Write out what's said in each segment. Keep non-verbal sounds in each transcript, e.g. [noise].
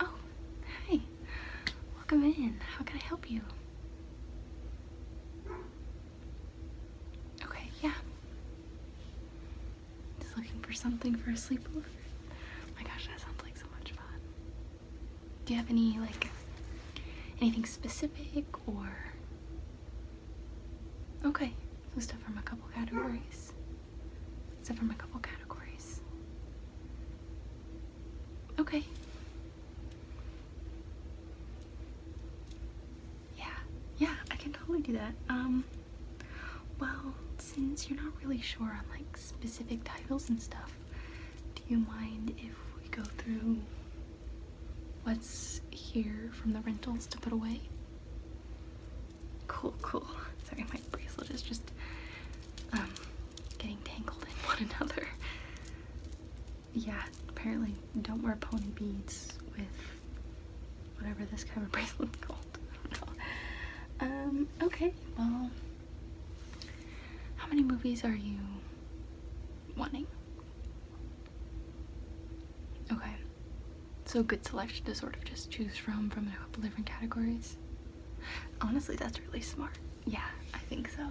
Oh, hi. Welcome in. How can I help you? Okay, yeah. Just looking for something for a sleepover. Oh my gosh, that sounds like so much fun. Do you have any, like, anything specific or Okay, stuff from a couple categories. Except from a couple categories. Okay. Yeah, yeah, I can totally do that. Um, well, since you're not really sure on like specific titles and stuff, do you mind if we go through what's here from the rentals to put away? Cool, cool. Sorry, my bracelet is just um, getting tangled in [laughs] one another. Yeah, apparently don't wear pony beads with whatever this kind of [laughs] bracelet is called. Um, okay, well, how many movies are you wanting? Okay. So good selection to sort of just choose from from a couple different categories. Honestly, that's really smart. Yeah, I think so.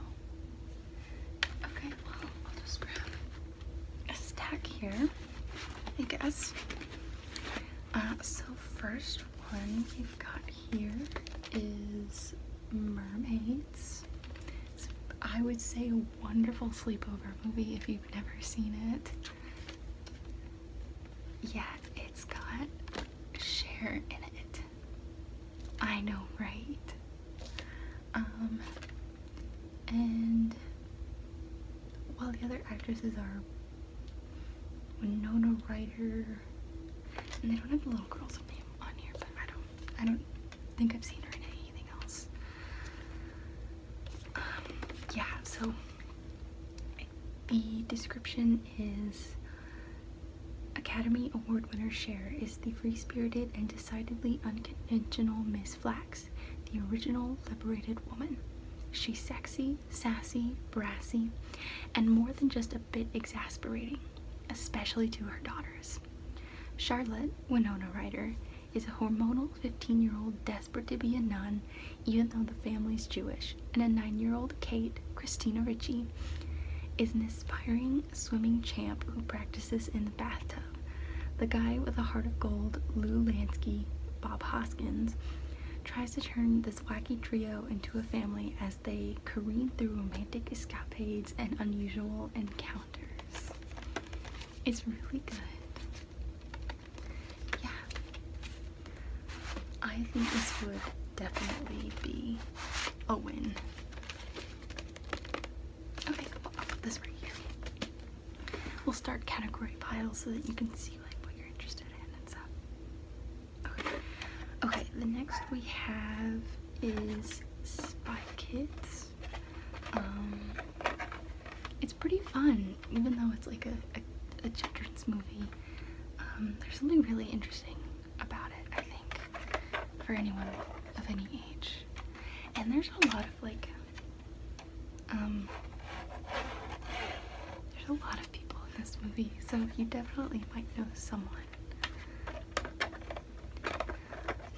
Okay, well, I'll just grab a stack here, I guess. Uh, so first one we've got here is Mermaids. I would say a wonderful sleepover movie if you've never seen it. Yeah, it's got Cher in it. I know, right? Um, and while the other actresses are Winona writer, and they don't have the little girl's on here, but I don't, I don't think I've seen her in anything else. Um, yeah, so the description is Academy Award winner Cher is the free spirited and decidedly unconventional Miss Flax, the original liberated woman. She's sexy, sassy, brassy, and more than just a bit exasperating, especially to her daughters. Charlotte, Winona Ryder, is a hormonal 15 year old desperate to be a nun, even though the family's Jewish, and a 9 year old Kate, Christina Ritchie, is an aspiring swimming champ who practices in the bathtub. The guy with a heart of gold, Lou Lansky, Bob Hoskins, tries to turn this wacky trio into a family as they careen through romantic escapades and unusual encounters. It's really good yeah, I think this would definitely be a win. Okay, well, will put this right here. We'll start category piles so that you can see like what you're interested in and stuff. Okay, okay the next we have is Spy kits. Um, it's pretty fun, even though it's like a, children's movie. Um, there's something really interesting about it, I think, for anyone of any age. And there's a lot of like, um, there's a lot of people in this movie, so you definitely might know someone.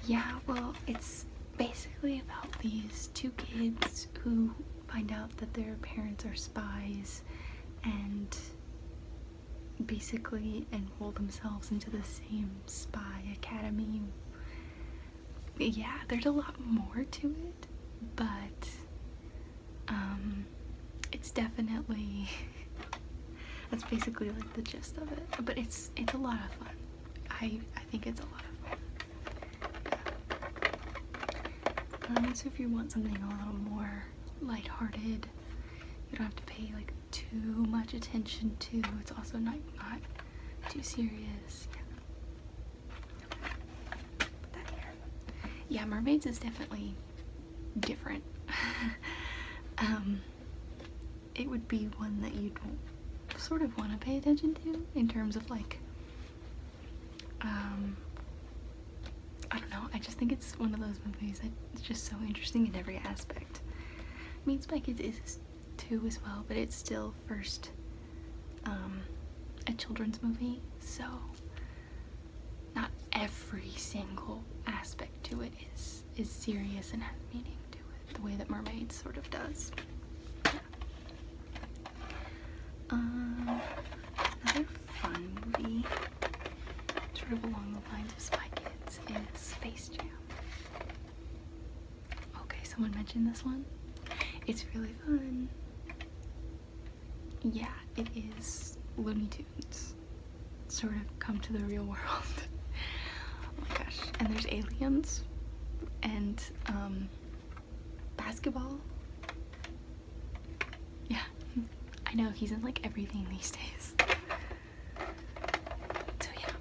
Yeah, well, it's basically about these two kids who find out that their parents are spies and basically enroll themselves into the same spy academy. Yeah, there's a lot more to it, but um, it's definitely [laughs] that's basically like the gist of it. But it's it's a lot of fun. I I think it's a lot of fun. Um, so if you want something a little more lighthearted, you don't have to pay like too much attention to. It's also not too serious. Yeah. mermaids is definitely different. [laughs] Um, it would be one that you sort of want to pay attention to in terms of like um, I don't know, I just think it's one of those movies that's just so interesting in every aspect. I mean, Spy Kids is too as well, but it's still first um, a children's movie, so not every single aspect to it is, is serious and has meaning to it, the way that Mermaids sort of does. Um, another fun movie, sort of along the lines of Spy Kids, is Space Jam. Okay, someone mentioned this one. It's really fun. Yeah, it is Looney Tunes. Sort of come to the real [laughs] world. oh my gosh. And there's aliens. And, um, basketball. Yeah, [laughs] I know he's in like everything these days. So yeah.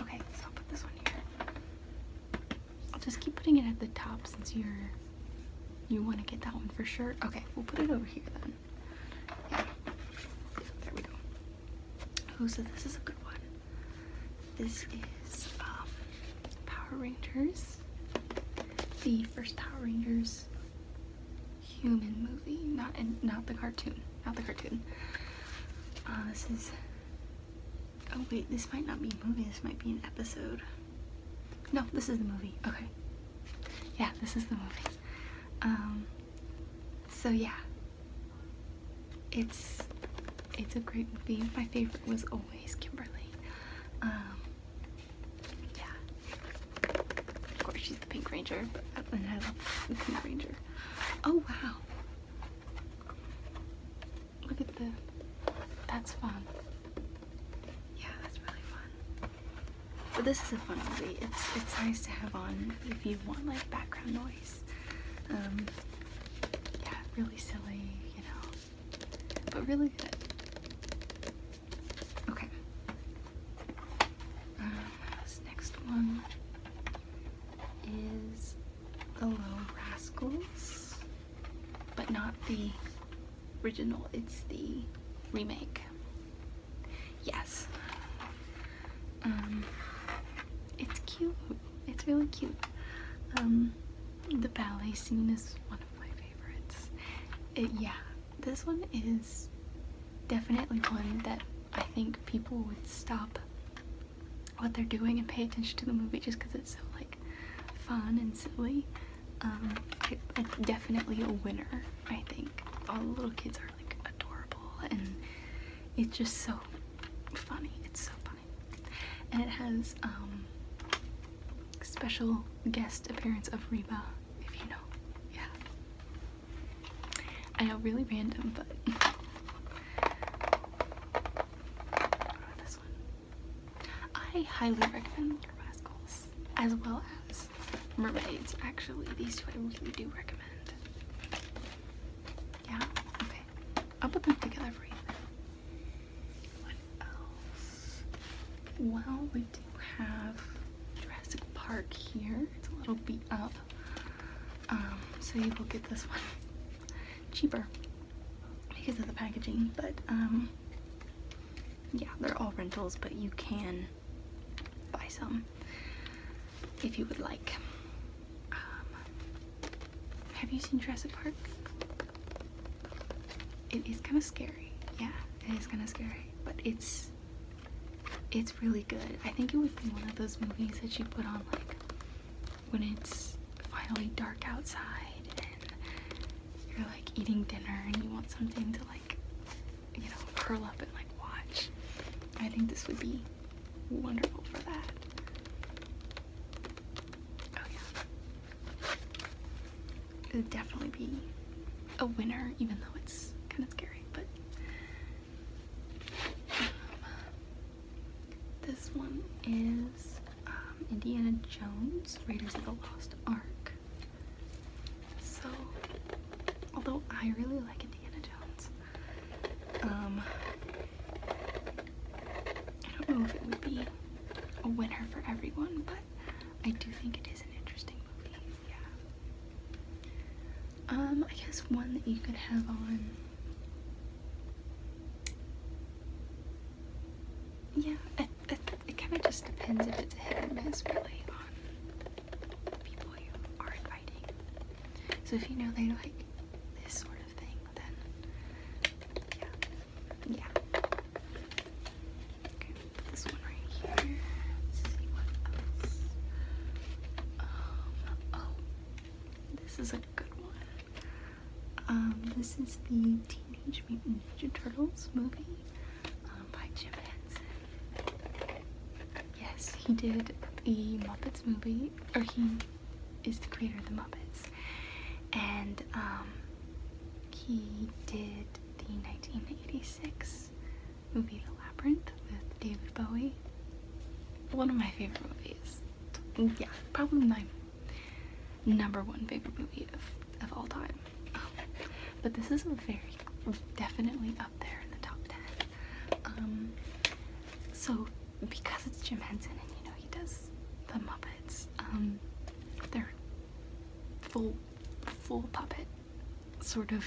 Okay, so I'll put this one here. I'll just keep putting it at the top since you're you want to get that one for sure. Okay, we'll put it over here then. Yeah. There we go. Oh, so this is a good one. This is um, Power Rangers, the first Power Rangers human movie, not in, not the cartoon, not the cartoon. Uh, this is. Oh wait, this might not be a movie. This might be an episode. No, this is the movie. Okay. Yeah, this is the movie. Um, so yeah, it's it's a great movie. My favorite was always Kimberly. Um, yeah, of course she's the Pink Ranger, but and I love the Pink Ranger. Oh wow, look at the. That's fun. Yeah, that's really fun. But this is a fun movie. It's it's nice to have on if you want like background noise um, really silly, you know, but really good. Okay. Uh, this next one is The Low Rascals, but not the original, it's the remake. Yes. Um, it's cute it's really cute. Um, the ballet scene is one of my favorites. yeah, this one is definitely one that I think people would stop what they're doing and pay attention to the movie just because it's so like fun and silly. Um, it's definitely a winner. I think all the little kids are like adorable and it's just so funny. It's so funny. And it has um, special guest appearance of Reba, if you know. Yeah. I know really random, but [laughs] this one. I highly recommend Rascals as well as Mermaids. Actually, these two I really do recommend. Yeah? Okay. I'll put them together for you. Well, we do have Jurassic Park here. It's a little beat up. Um, so you will get this one [laughs] cheaper because of the packaging, but um, yeah, they're all rentals, but you can buy some if you would like. Um, have you seen Jurassic Park? It is kind of scary. Yeah, it is kind of scary, but it's it's really good. I think it would be one of those movies that you put on like when it's finally dark outside and you're like eating dinner and you want something to like you know curl up and like watch. I think this would be wonderful for that. Oh, it would definitely be a winner, even though it's kind of scary, but um, this one is um, Indiana Jones, Raiders of the Lost Ark. So, although I really like Indiana Jones, um, I don't know if it would be a winner for everyone, but I do think it is an interesting movie. Yeah. Um, I guess one that you could have on. Yeah, it, kind of just depends if it's a hit or miss, really, on people you are inviting. So if you know they like this sort of this is a good one. Um, this is the Teenage Mutant Ninja Turtles movie um, by Jim Henson. Yes, he did the Muppets movie he or he is the creator of the Muppets, and um, he did the 1986 movie The Labyrinth with David Bowie. One of my favorite movies. Yeah, probably my number one favorite movie of, all time. Um, but this is very definitely up there in the top 10. Um, so because it's Jim Henson and you know he does the Muppets, um, they're full, full puppet sort of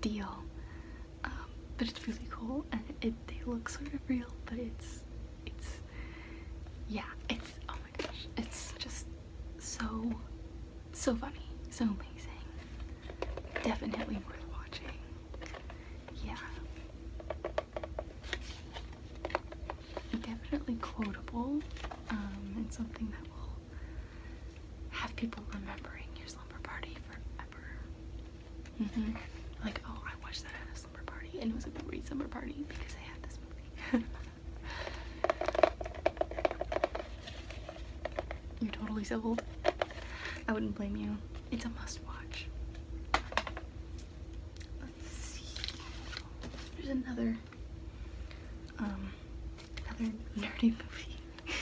deal. Um, but it's really cool and it, they look sort of real, but it's, it's, yeah, it's, oh my gosh, it's just so, so funny, so amazing. Definitely worth watching yeah. Definitely quotable, um, and something that will have people remembering your slumber party forever. Mm-hmm. Like, oh, I watched that at a slumber party, and it was a great slumber party because I had this movie. [laughs] You're totally sold. I wouldn't blame you. It's a must watch. There's another um nerdy movie. [laughs]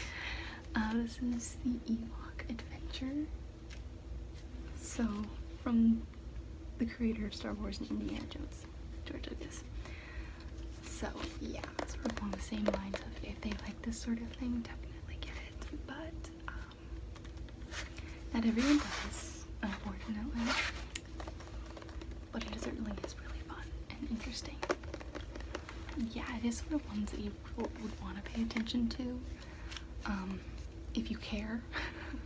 Uh, this is the Ewok Adventure. So from the creator of Star Wars and Indiana Jones, George Lucas. So yeah, sort of along the same lines of if they like this sort of thing, definitely get it. But um, not everyone does, unfortunately, but it certainly is really fun and interesting. Yeah, it is one of the ones that you would want to pay attention to, um, if you care. [laughs]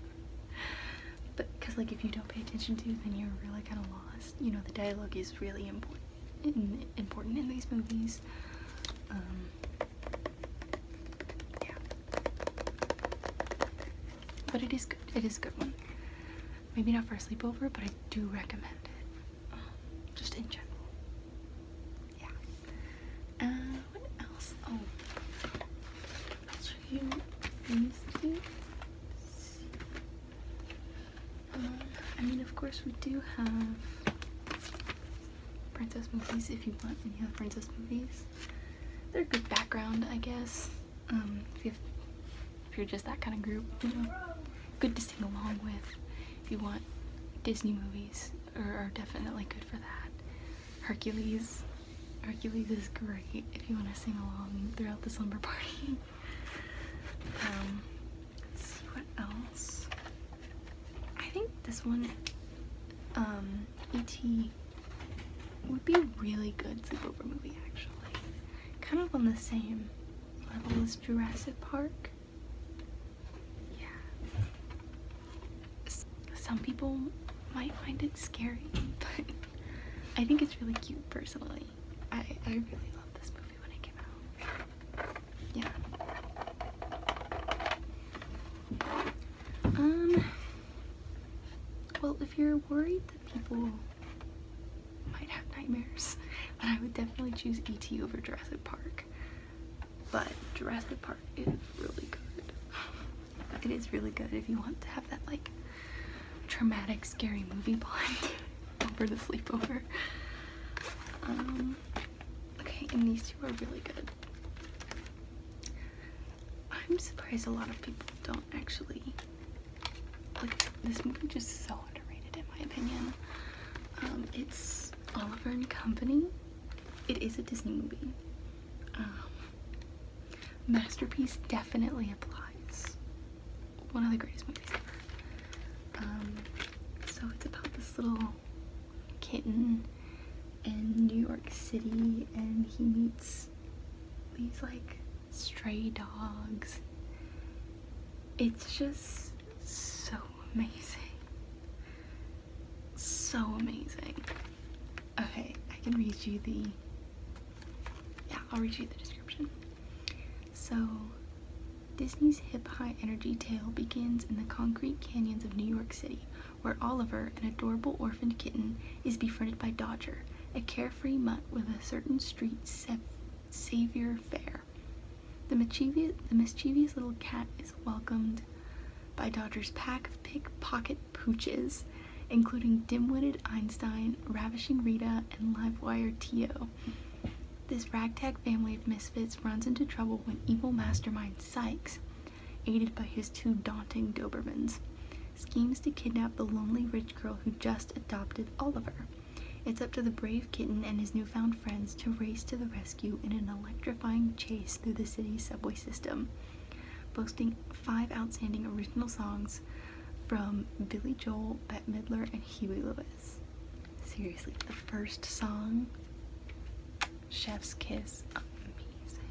but because like if you don't pay attention to, then you're really kind of lost. You know, the dialogue is really important in, important in these movies. Um, but it is good. It is a good one. Maybe not for a sleepover, but I do recommend it. just in general. Yeah. Uh, what else? Oh, I'll show these two. Uh, I mean, of course, we do have princess movies if you want any other princess movies they're good background, I guess. Um, if, you're just that kind of group, you know, good to sing along with. If you want Disney movies, are, definitely good for that. Hercules, Hercules is great if you want to sing along throughout the slumber party. [laughs] um, what else. I think this one, um, E.T would be really good sleepover movie actually. Kind of on the same level as Jurassic Park. Yeah. some people might find it scary, [laughs] but I think it's really cute personally. I, I really love this movie when it came out. Yeah. Um well, if you're worried that people might have nightmares, [laughs] then I would definitely choose E.T. over Jurassic Park. But Jurassic Park is really good. [sighs] It is really good if you want to have that like traumatic, scary movie bond [laughs] over the sleepover. Um, okay, and these two are really good. I'm surprised a lot of people don't actually like this movie. Just so underrated, in my opinion. Um, it's Oliver and Company. It is a Disney movie. Um, masterpiece definitely applies. One of the greatest movies ever. Um, so it's about this little kitten in New York City and he meets these like stray dogs. It's just so amazing. So amazing. Okay, I can read you the, yeah, I'll read you the description. So, Disney's hip-high energy tale begins in the concrete canyons of New York City, where Oliver, an adorable orphaned kitten, is befriended by Dodger, a carefree mutt with a certain street savior fare. The mischievous, little cat is welcomed by Dodger's pack of pickpocket pooches, including dimwitted Einstein, ravishing Rita, and livewire Tio. This ragtag family of misfits runs into trouble when evil mastermind Sykes, aided by his two daunting Dobermans, schemes to kidnap the lonely rich girl who just adopted Oliver. It's up to the brave kitten and his newfound friends to race to the rescue in an electrifying chase through the city's subway system. Boasting five outstanding original songs from Billy Joel, Bette Midler, and Huey Lewis. Seriously, the first song, Chef's Kiss, amazing.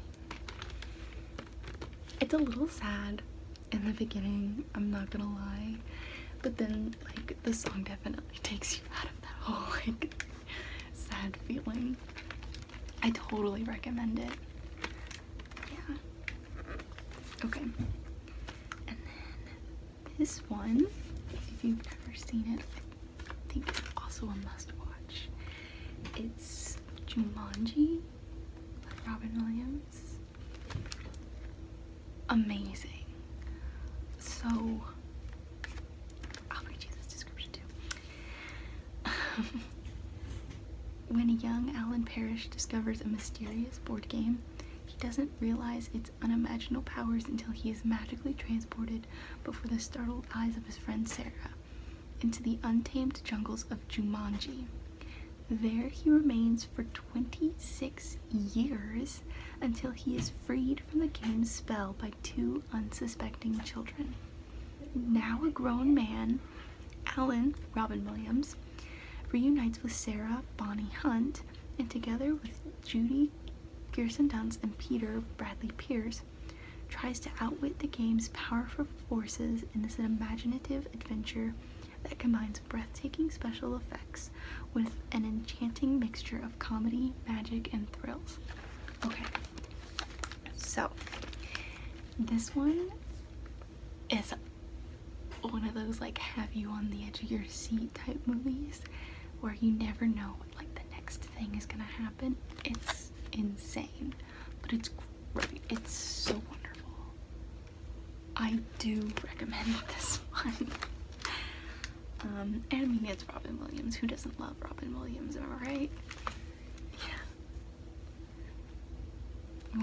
It's a little sad in the beginning, I'm not gonna lie, but then like the song definitely takes you out of that whole like sad feeling. I totally recommend it. Yeah. Okay. And then this one, if you've never seen it, I think it's also a must watch. It's Jumanji by Robin Williams. Amazing. So I'll read you this description too. [laughs] when young Alan Parrish discovers a mysterious board game, he doesn't realize its unimaginable powers until he is magically transported before the startled eyes of his friend Sarah into the untamed jungles of Jumanji. There he remains for 26 years until he is freed from the game's spell by two unsuspecting children. Now a grown man, Alan Robin Williams, reunites with Sarah Bonnie Hunt, and together with Judy Gerson Dunst and Peter Bradley Pierce, tries to outwit the game's powerful forces in this imaginative adventure that combines breathtaking special effects with an enchanting mixture of comedy, magic, and thrills. Okay, so this one is one of those like have you on the edge of your seat type movies where you never know what like the next thing is gonna happen. It's insane but it's great. It's so wonderful. I do recommend [laughs] this one. um, and I mean, it's Robin Williams. Who doesn't love Robin Williams, am I right? Yeah.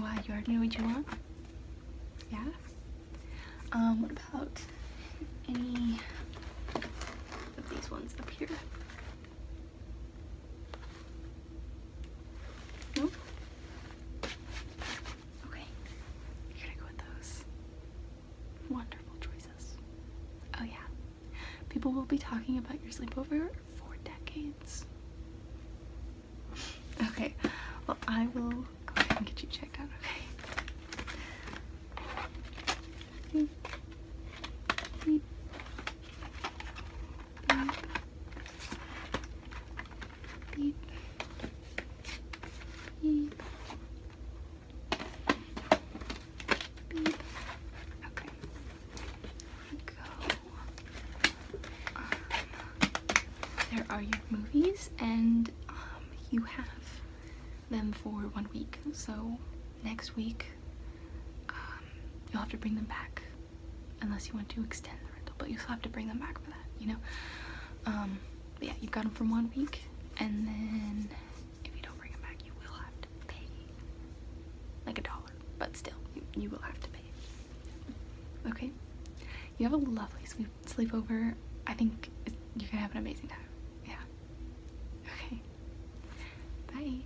Why, you already know what you want? Yeah? Um, what about any of these ones up here? Nope. Okay. You're gonna go with those. Wonderful choices. Oh yeah. People will be talking about your sleepover for decades. [laughs] okay. Well, I will go ahead and get you checked out, okay? there are your movies, and um, you have them for one week, so next week, um, you'll have to bring them back unless you want to extend the rental, but you still have to bring them back for that, you know? Um, yeah, you've got them for one week, and then if you don't bring them back, you will have to pay like a dollar, but still, you, will have to pay. Okay? You have a lovely sleepover. I think you're gonna have an amazing time. Yeah. Okay. Bye.